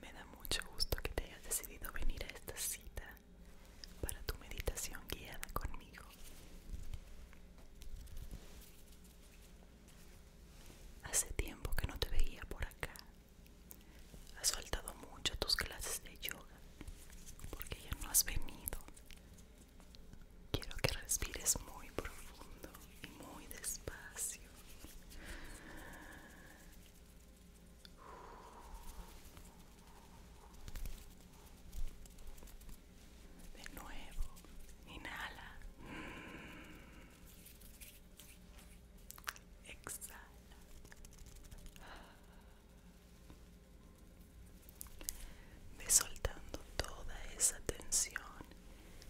Me da mucho gusto que te hayas decidido venir a esta cita para tu meditación guiada conmigo. Hace tiempo que no te veía por acá. Has faltado mucho a tus clases de yoga porque ya no has venido. Quiero que respires muy profundo y muy despacio. De nuevo, inhala. Exhala. De soltando toda esa tensión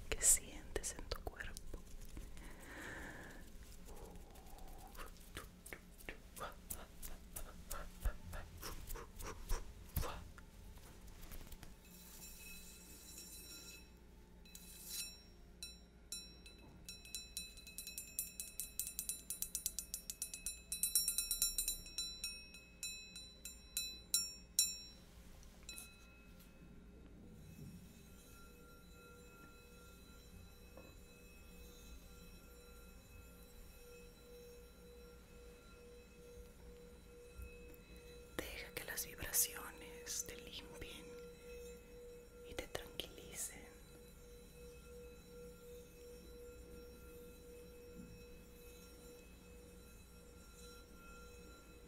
que sientes en tu cuerpo. Deja que las vibraciones te limpien y te tranquilicen.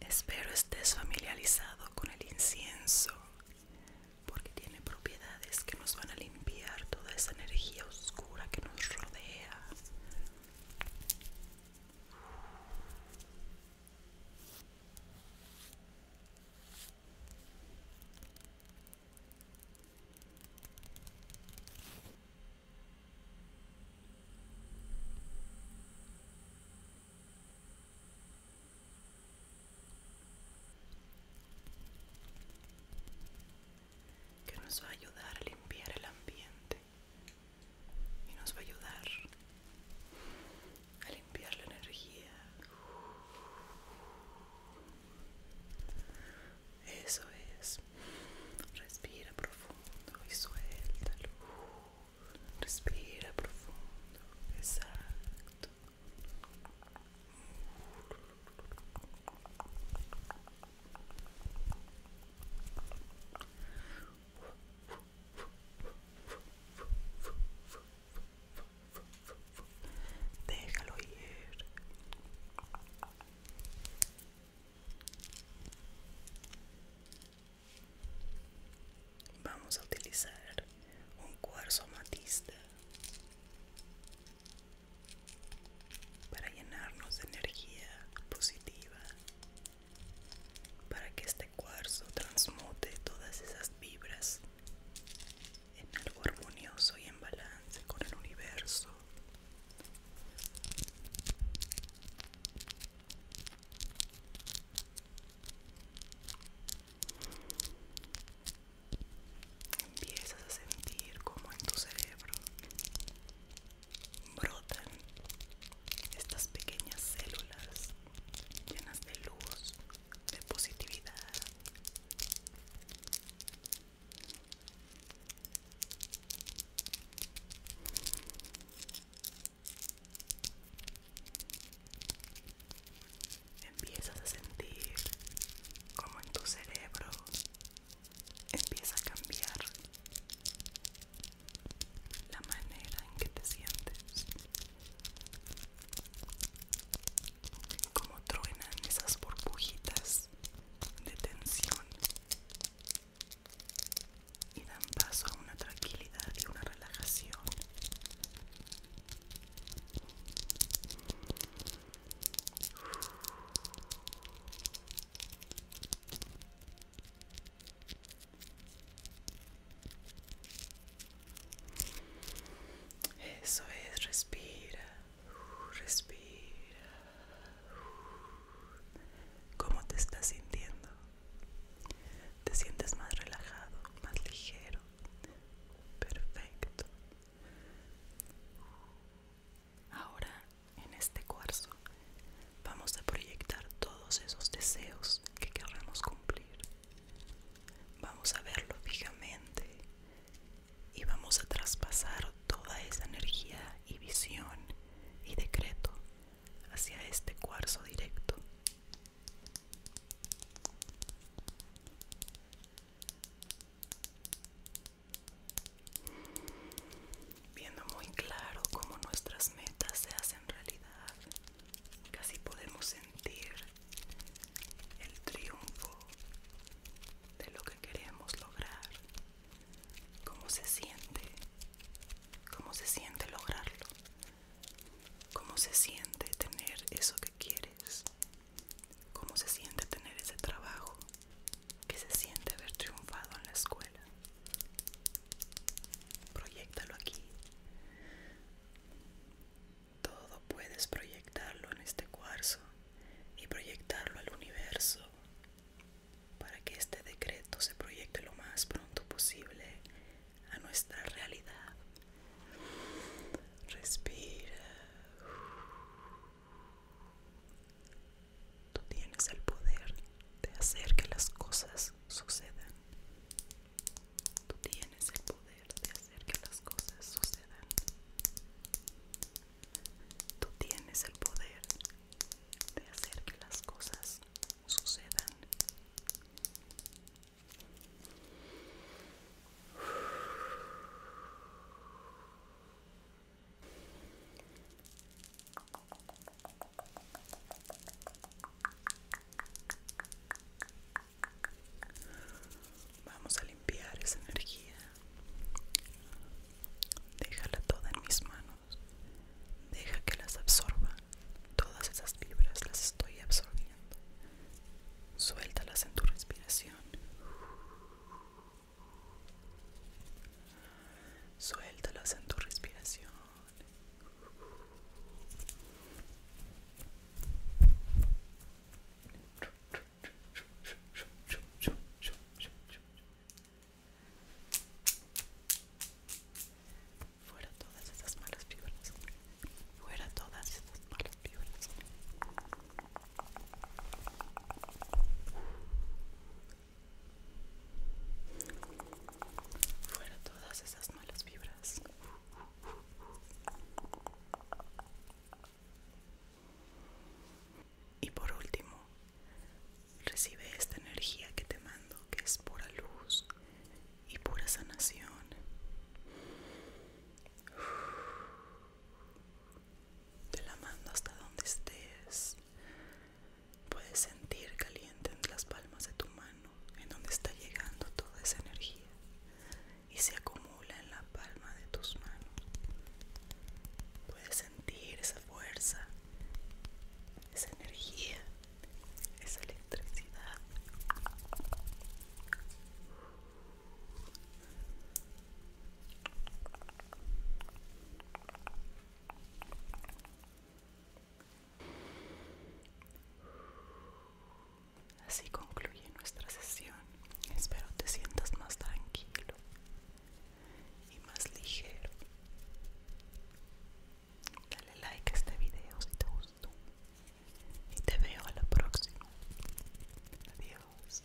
Espero estés familiarizado con el incienso porque tiene propiedades que nos van a limpiar toda esa energía oscura que nos rodea que nos va a ayudar a limpiar el ambiente y nos va a ayudar a limpiar la energía eso es. Respira profundo y suelta Respira profundo. Exacto. Déjalo ir. Vamos a utilizar un cuarzo matista para llenarnos de energía positiva, para que este cuarzo transmute todas esas vibras en algo armonioso y en balance con el universo. Empiezas a sentir como en tu cerebro brotan estas pequeñas células llenas de luz de positividad. Empiezas a sentir como en tu cerebro empieza a cambiar la manera en que te sientes como truenan esas burbujitas de tensión y dan paso a una tranquilidad y una relajación. Eso es, respira, respira. ¿Cómo te estás sintiendo? ¿Te sientes más relajado, más ligero? Perfecto. Ahora, en este cuarzo, vamos a proyectar todos esos deseos que querramos cumplir. Vamos a verlo fijamente y vamos a traspasar toda esa energía y visión y decreto hacia este cuarzo directo. Viendo muy claro cómo nuestras metas se hacen realidad Casi podemos sentir el triunfo de lo que queremos lograr. ¿Cómo se siente? ¿Cómo se siente lograrlo? ¿Cómo se siente tener eso que quieres? ¿Cómo se siente tener ese trabajo? que se siente haber triunfado en la escuela? Proyectalo aquí. Todo puedes proyectarlo en este cuarzo y proyectarlo al universo para que este decreto se proyecte lo más pronto posible a nuestra realidad. Respira. Tú tienes el poder de hacer que las cosas sucedan. Tú tienes el poder de hacer que las cosas sucedan. Tú tienes el poder de hacer que las cosas sucedan. Vamos a limpiar esa energía. Déjala toda en mis manos. Deja que las absorba. Todas esas fibras las estoy absorbiendo. Suéltalas en tu respiración. Suéltalos en tu respiración. Fuera todas esas malas vibras. Fuera todas esas malas vibras. Fuera todas esas malas vibras. Y por último, recibe esta energía que te mando, que es pura luz y pura sanación de la mando hasta donde estés. Puedes sentir caliente en las palmas de tu mano, en donde está llegando toda esa energía y se acumula en la palma de tus manos. Puedes sentir esa fuerza, esa energía, esa electricidad. Así concluye nuestra sesión. Espero te sientas más tranquilo y más ligero. Dale like a este video si te gustó. Y te veo a la próxima. Adiós.